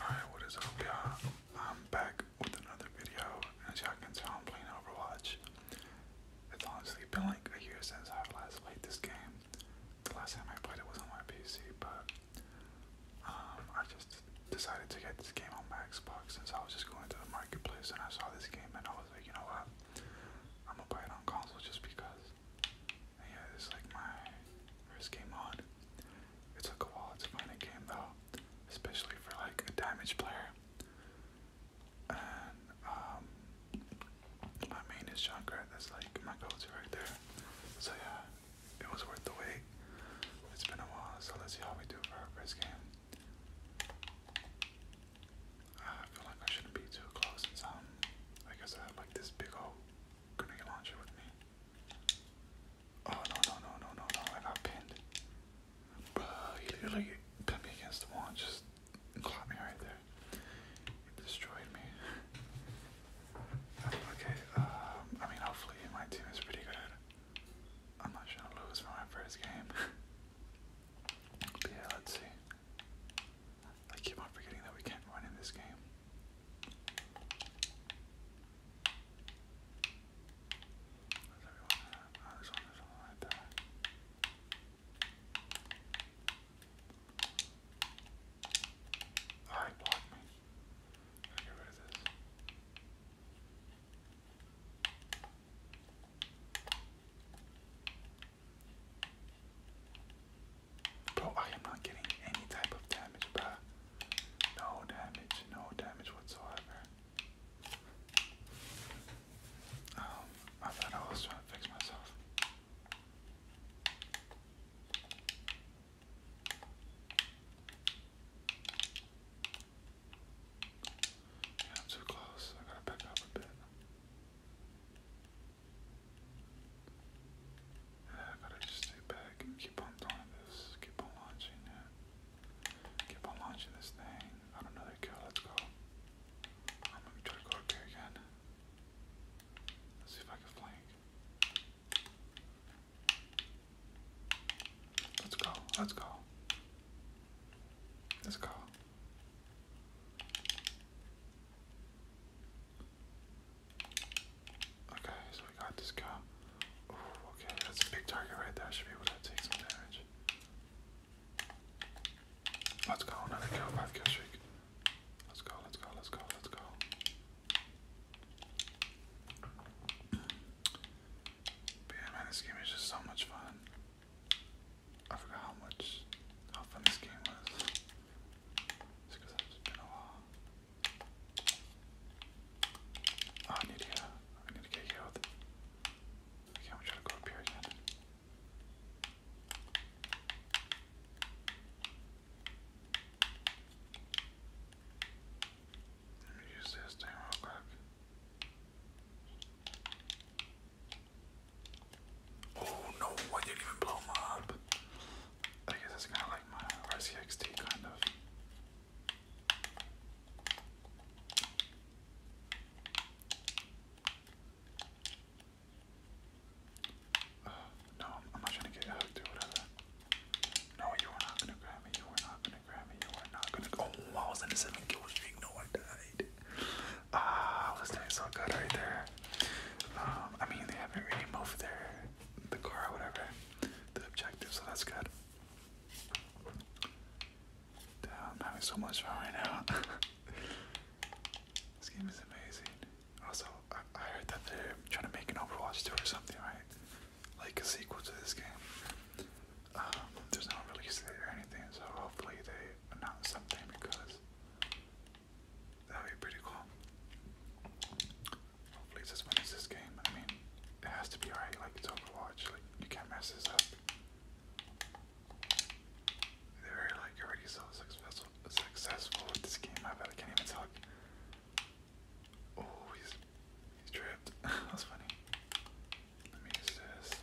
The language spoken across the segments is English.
Alright, what is up y'all? I'm back with another video. and As y'all can tell, I'm playing Overwatch. It's honestly been like a year since I last played this game. The last time I played it was on my PC, but um, I just decided to get this game on my Xbox since I was just going to the marketplace and I saw this game and I was like, you know what? I'm gonna play it on console just because yeah, this like my first game mod. It took a while to find a game though, especially for like a damage player. And um, my main is Junkrat. That's like my go-to right there. So yeah, it was worth the wait. It's been a while, so let's see how we do for our first game. Ah, I feel like I shouldn't be too close and some. Um, I guess I have like this big old Gonna launch it with me. Oh no no no no no no! I got pinned. Bro, he literally pinned me against the wall and just caught me right there. destroyed me. okay, um, I mean, hopefully my team is pretty good I'm not going to lose for my first game. yeah, let's see. I keep on forgetting that we can't run in this game. Where's everyone ah, oh, me. got this. Bro, I am not getting any type of damage, No damage, no damage whatsoever. Um, I thought I was trying to fix myself. I'm too close. I gotta back up a bit. I got just stay back keep on doing this. Keep on launching it. Keep on launching this thing. I don't know the kill. Let's go. I'm gonna try to go up here again. Let's see if I can flank. Let's go. Let's go. Let's go. Okay, so we got this guy. Ooh, okay, that's a big target right there. I should be able to take some damage. Let's go, another kill, five kill streak. Let's go, let's go, let's go, let's go. But yeah, man, this game is just so much fun. I forgot how much how fun this game was. It's because it's been a while. Oh, I need to get I need to get healed. I'm gonna to go up here again. Let me use this thing real quick. Oh no, I didn't even blow him up. I guess that's kind of like my RCXT, kind of. no, I'm not trying to get hooked or whatever. No, you are not gonna grab me. You are not gonna grab me. You are not gonna. Oh, I was in a seven kill streak. No, I died. Ah, uh, this tastes good right there. Um, I mean, they haven't really moved their the car whatever, the objective, so that's good. Damn, I'm having so much fun right now. this game is amazing. Also, I, I heard that they're trying to make an Overwatch 2 or something, right? Like a sequel to this game. Um, there's no release date or anything, so hopefully they but not something because that would be pretty cool. Hopefully, this wins this game. I mean, it has to be alright. Like it's Overwatch. Like you can't mess this up. They're like already so successful, with this game. I bet I can't even talk. Oh, he's he's tripped. That's funny. Let me use this.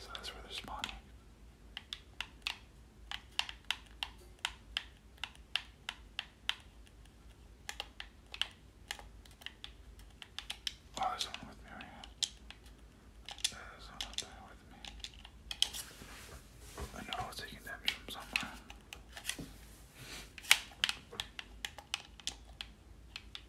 So that's where they're spawning. Oh, there's someone with me right here. There's someone with me. I know I was taking damage from somewhere.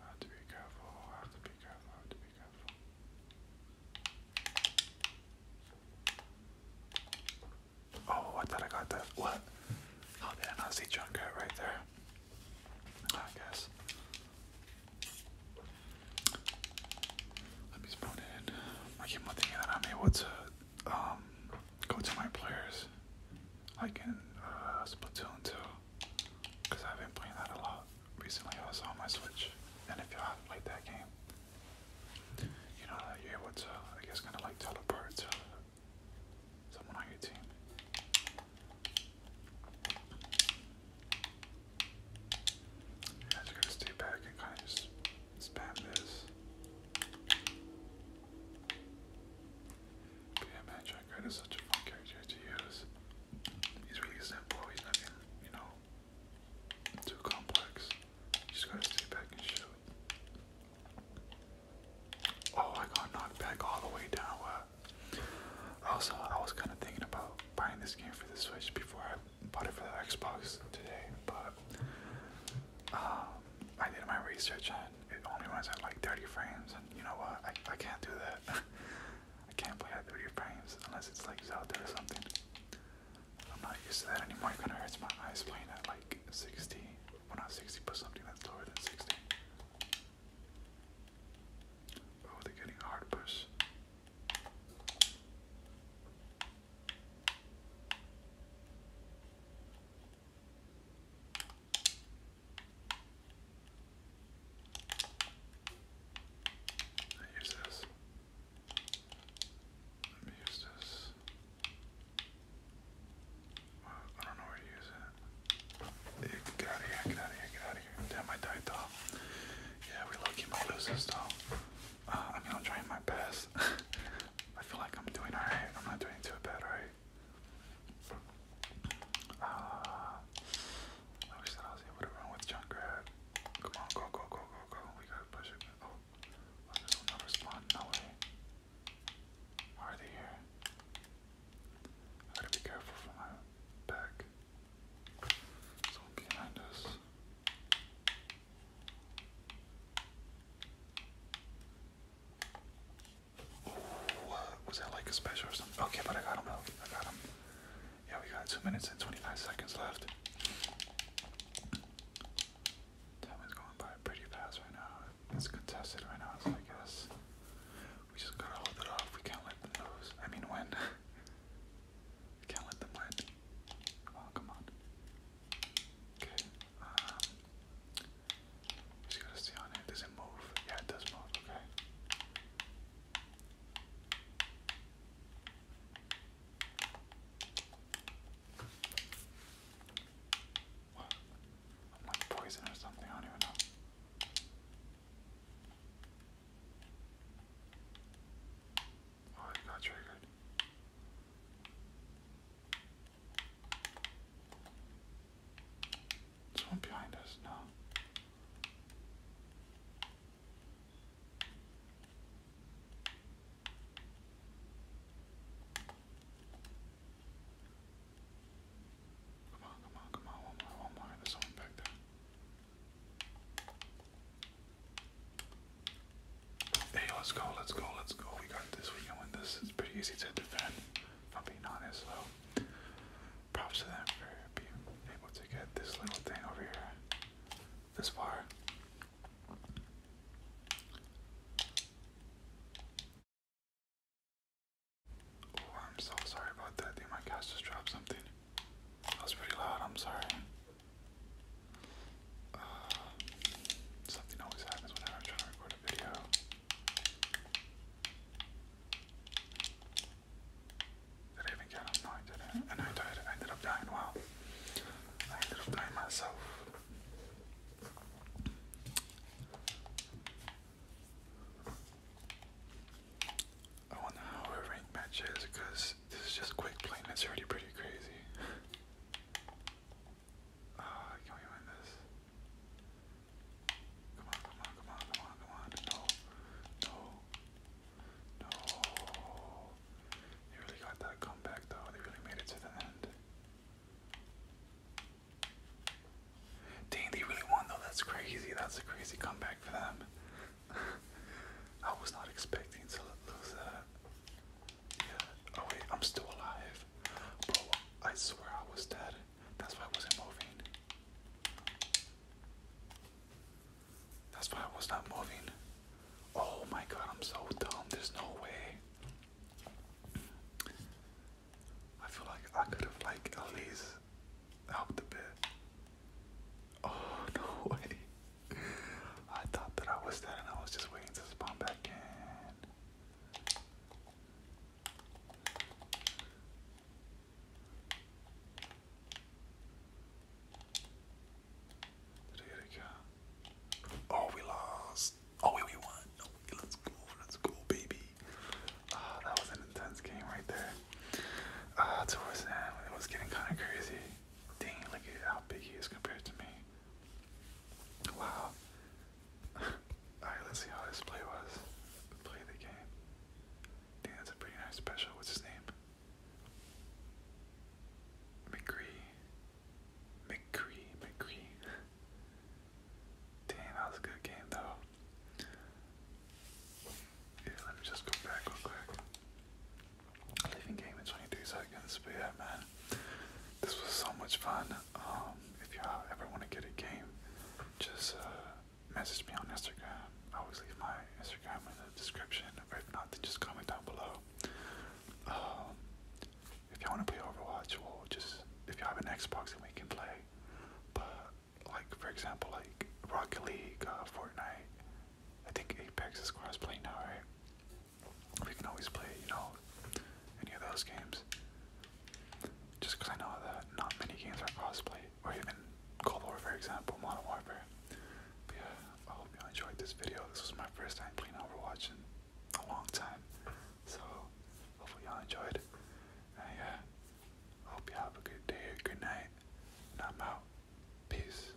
I have to be careful, have to be careful, have to be careful. Oh, I thought I got that. What? Oh, did I not see Junkrat right there? I guess. Let me spawn in. I keep on thinking I'm able to um, go to my players, like in uh, Splatoon 2. Because I've been playing that a lot recently. I was on my Switch. And if you haven't played that game, you know that you're I guess, kind of like teleport someone on your team. just gotta back and kind of just spam this. Yeah, man, is such a fun character to use. He's really simple, he's nothing, you know, too complex. just gotta stay back and shoot. Oh, I got knocked back all the way down. Uh, also, I was kind of thinking about buying this game for the Switch before I bought it for the Xbox today, but um, I did my research. I it only runs at like 30 frames. And you know what? I I can't do that. I can't play at 30 frames unless it's like Zelda or something. I'm not used to that anymore. It kind of hurts my eyes playing at like 60. Well, not 60, but something that's lower than 60. Oh, they're getting hard push. I use this. use this. Well, I don't know where to use it. get out of here, get out of here, get out of here. Damn, I died though. Yeah, we lucky might lose this though. Uh, I mean, I'm trying my best. I feel like I'm doing alright. I'm not doing too bad, alright? Uh, I wish with junk Come on, go, go, go, go, go. We gotta push it. Oh, oh this will not respond. No way. are they here? I gotta be careful for my back. Someone behind us. What? Was that like a special or something? Okay, but I got him out. I got him. Yeah, we got 2 minutes and 25 seconds left. Time is going by pretty fast right now. It's contested right now, so I guess. We just gotta hold it off. We can't let them lose. I mean, win. can't let them win. Oh, come on. Okay. Um, just to stay on it. Does it move? Yeah, it does move. Okay. What? am like poison or something. I don't even know. Oh, it got triggered. There's one behind us, no. Come on, come on, come on, one more, one more. There's someone back there. Hey, let's go, let's go, let's go. We got this, we can win this. It's pretty easy to defend, if I'm being honest, so props to them for being able to get this little thing over here this far. Oh, I'm so sorry about that. my cast just dropped something. That was pretty loud, I'm sorry. Uh, something always happens whenever I'm trying to record I even get him? And I ended up dying. Wow. I ended up dying myself. I wonder how her rank match because this is just quick playing. It's already pretty crazy. Oh, can we win this? Come on, come on, come on, come on, come on. No, no, no. They really got that comeback though. They really made it to the end. Dang, they really won though. That's crazy. That's a crazy comeback for them. I was not expecting to lose that. Oh wait, I'm still alive. Bro, I swear I was dead. That's why I wasn't moving. That's why I was not moving. Oh my god, I'm so dumb. There's no way. I feel like I could have like at least helped a bit. Oh no way. I thought that I was dead and I was just waiting to spawn back in. Did it again? Oh, we lost. Oh, wait, we won. No, oh, let's go. let baby. Oh, that was an intense game right there. Uh, towards the end, it was getting kind of crazy. Dang, look at how big he is compared to me. Wow. Alright, let's see how this play was. Play the game. I that's a pretty nice special. What's his name? McCree. McCree. McCree. Damn, that was a good game though. Yeah, let me just go back real quick leaving game in 22 seconds. But man, this was so much fun. Um, if y'all ever want to get a game, just uh, message me on Instagram. I always leave my Instagram in the description, or if not, then just comment down below. Um, if y'all want to play Overwatch, or just if you have an Xbox, then we can play. But like for example, like Rocket League, uh, Fortnite. I think Apex is cross-play now, right? we can always play, you know, any of those games. Just I know that not many games are crossplay, or even Cold War, for example, Modern Warfare. yeah, I hope you all enjoyed this video. This was my first time playing Overwatch in a long time, so hopefully y'all enjoyed. And yeah, I hope you have a good day, a good night, and I'm out. Peace.